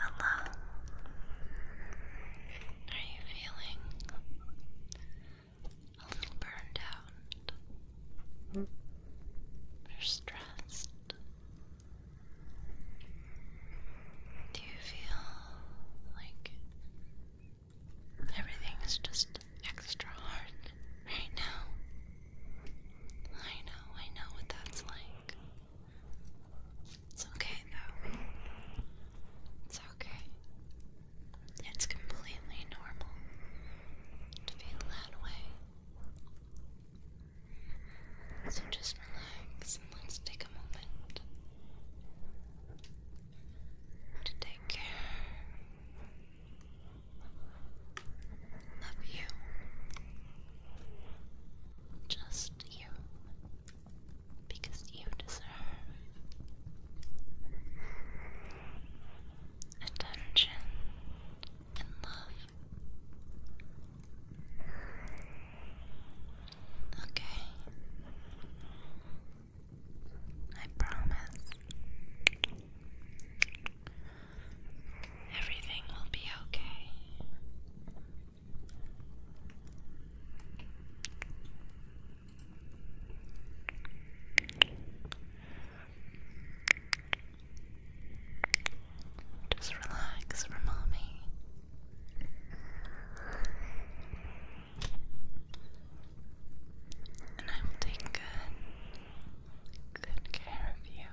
Hello. Are you feeling a little burned out? Or stressed? Do you feel like Everything is just extra hard right now. I know, I know what that's like. It's okay though. It's okay. It's completely normal to feel that way. So just relax and let's take a moment to take care of you. Just you. Because you deserve attention and love. Okay. I promise. Everything will be okay. Just relax for and I'm taking good, good care of you.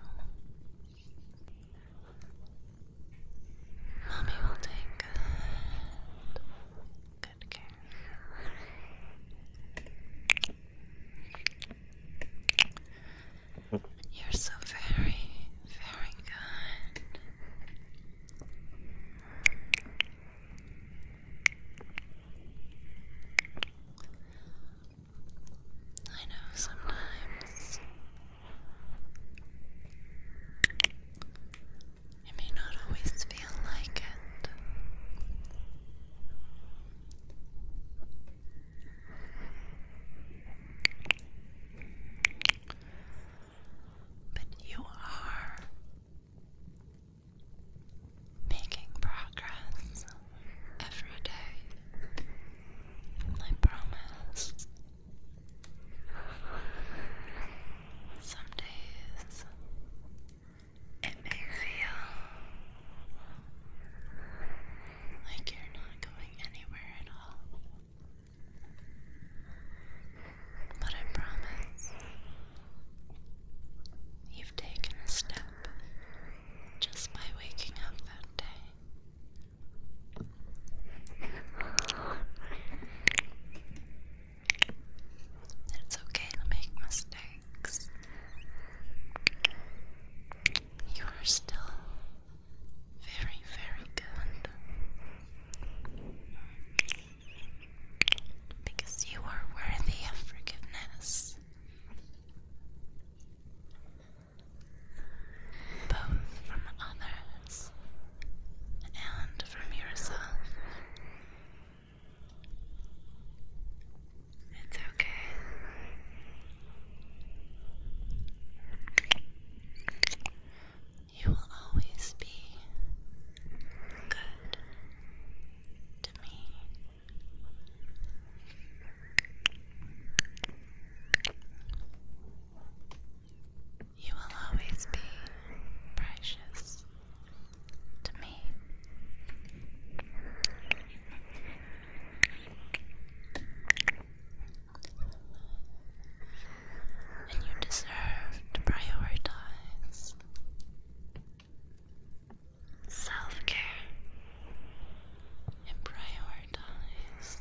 Mommy will take good, good care. You're so very, very good. I know sometimes it may not always feel like it but you are making progress every day. I promise. Some days it may feel like you're not going anywhere at all. But I promise you've taken a step just by waking up that day. It's okay to make mistakes. You are still very, very good. Because you are worthy of forgiveness. Both from others and from yourself. It's okay. You will always be good to me. You will always be precious to me and you deserve to prioritize self care and prioritize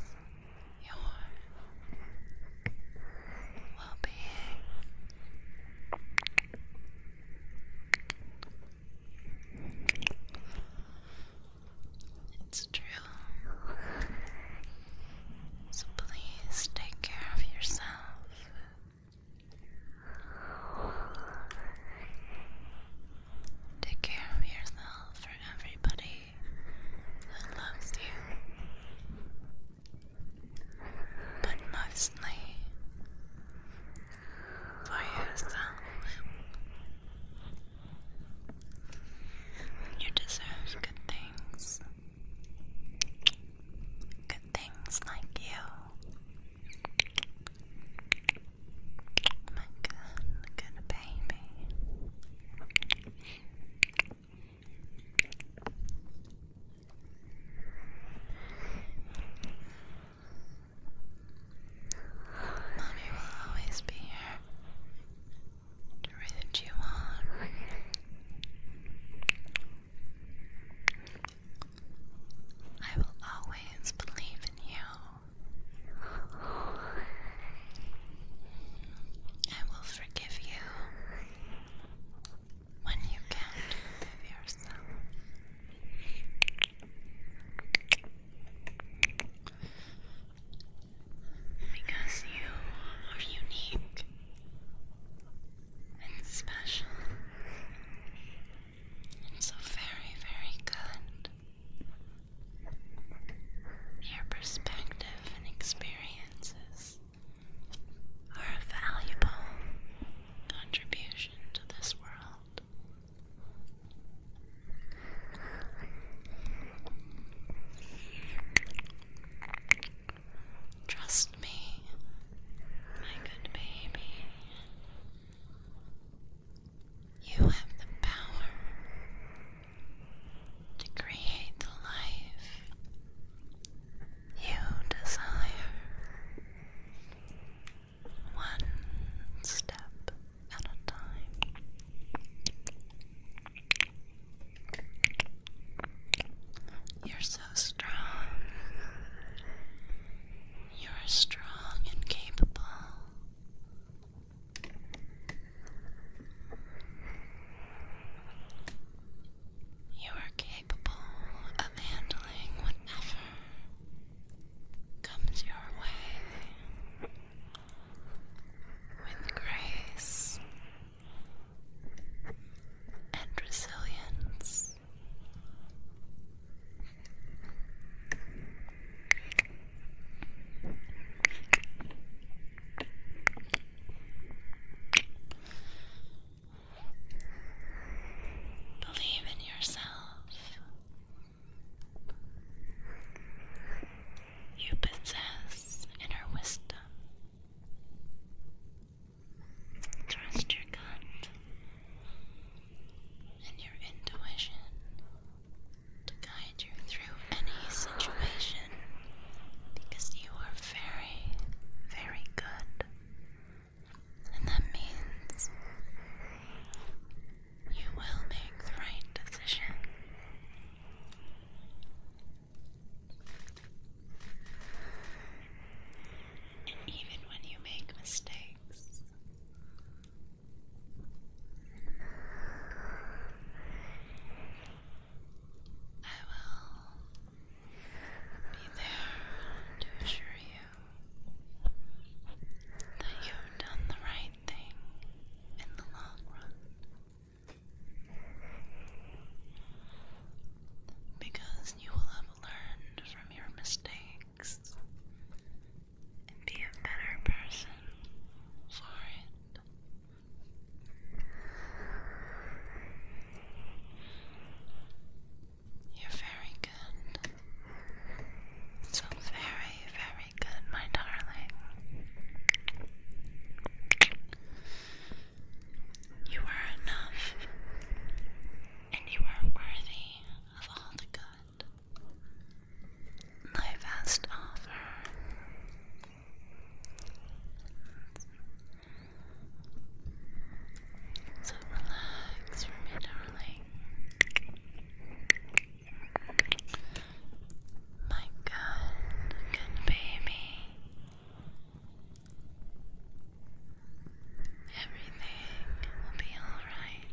your well being. It's true. So please take care of yourself. Take care of yourself for everybody who loves you, but mostly for yourself. You deserve good things. Good things like you. My good, good baby. Mommy will always be here to root you on. I will always believe in you. I will forgive you when you can forgive yourself. Because you are unique and special and so very, very good. Your perspective and experiences are a valuable contribution to this world. Trust me, my good baby. You have the power to create the life you desire one step at a time. You're so strong. You are strong and capable. You are capable of handling whatever comes your way with grace and resilience. Believe in yourself. You possess inner wisdom. Trust your gut and your intuition to guide you through any situation because you are very, very good and that means you will make the right decision. And even when you make mistakes, I will be there to assure you that you've done the right thing in the long run. Because you will have learned from your mistakes and be a better person for it. You're very good. So very, very good, my darling. You are enough, and you are worthy of all the good life has offer. So relax for me, darling. My good, good baby. Everything will be alright.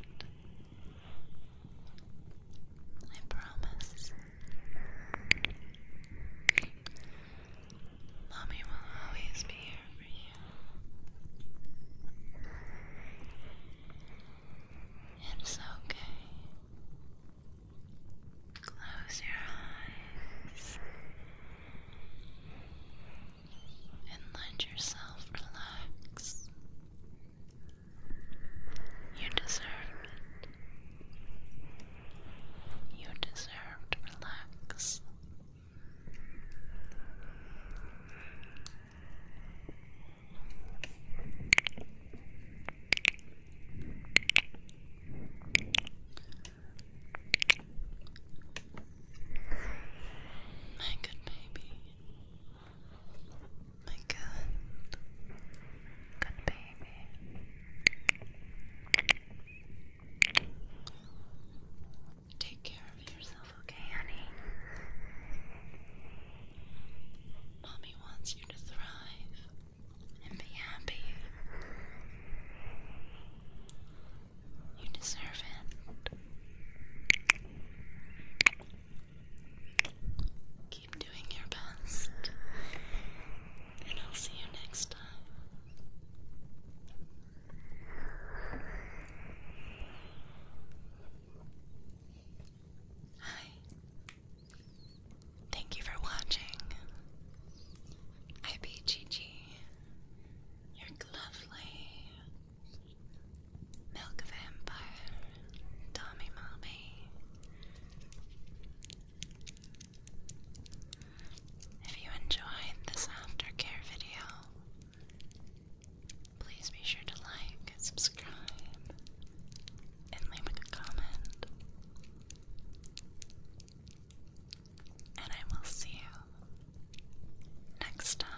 I promise. Mommy will always be here for you. It's okay. Close your eyes and let yourself relax. You deserve it. You deserve to relax. My good baby. My good, good baby. Take care of yourself, okay, honey? Mommy wants you to thrive and be happy. You deserve it. Keep doing your best, and I'll see you next time. Hi. Thank you for watching. IBGG. You're lovely. Milk Vampire. Tommy Mommy. If you enjoyed this aftercare video, please be sure to like, subscribe, and leave a comment. And I will see you next time.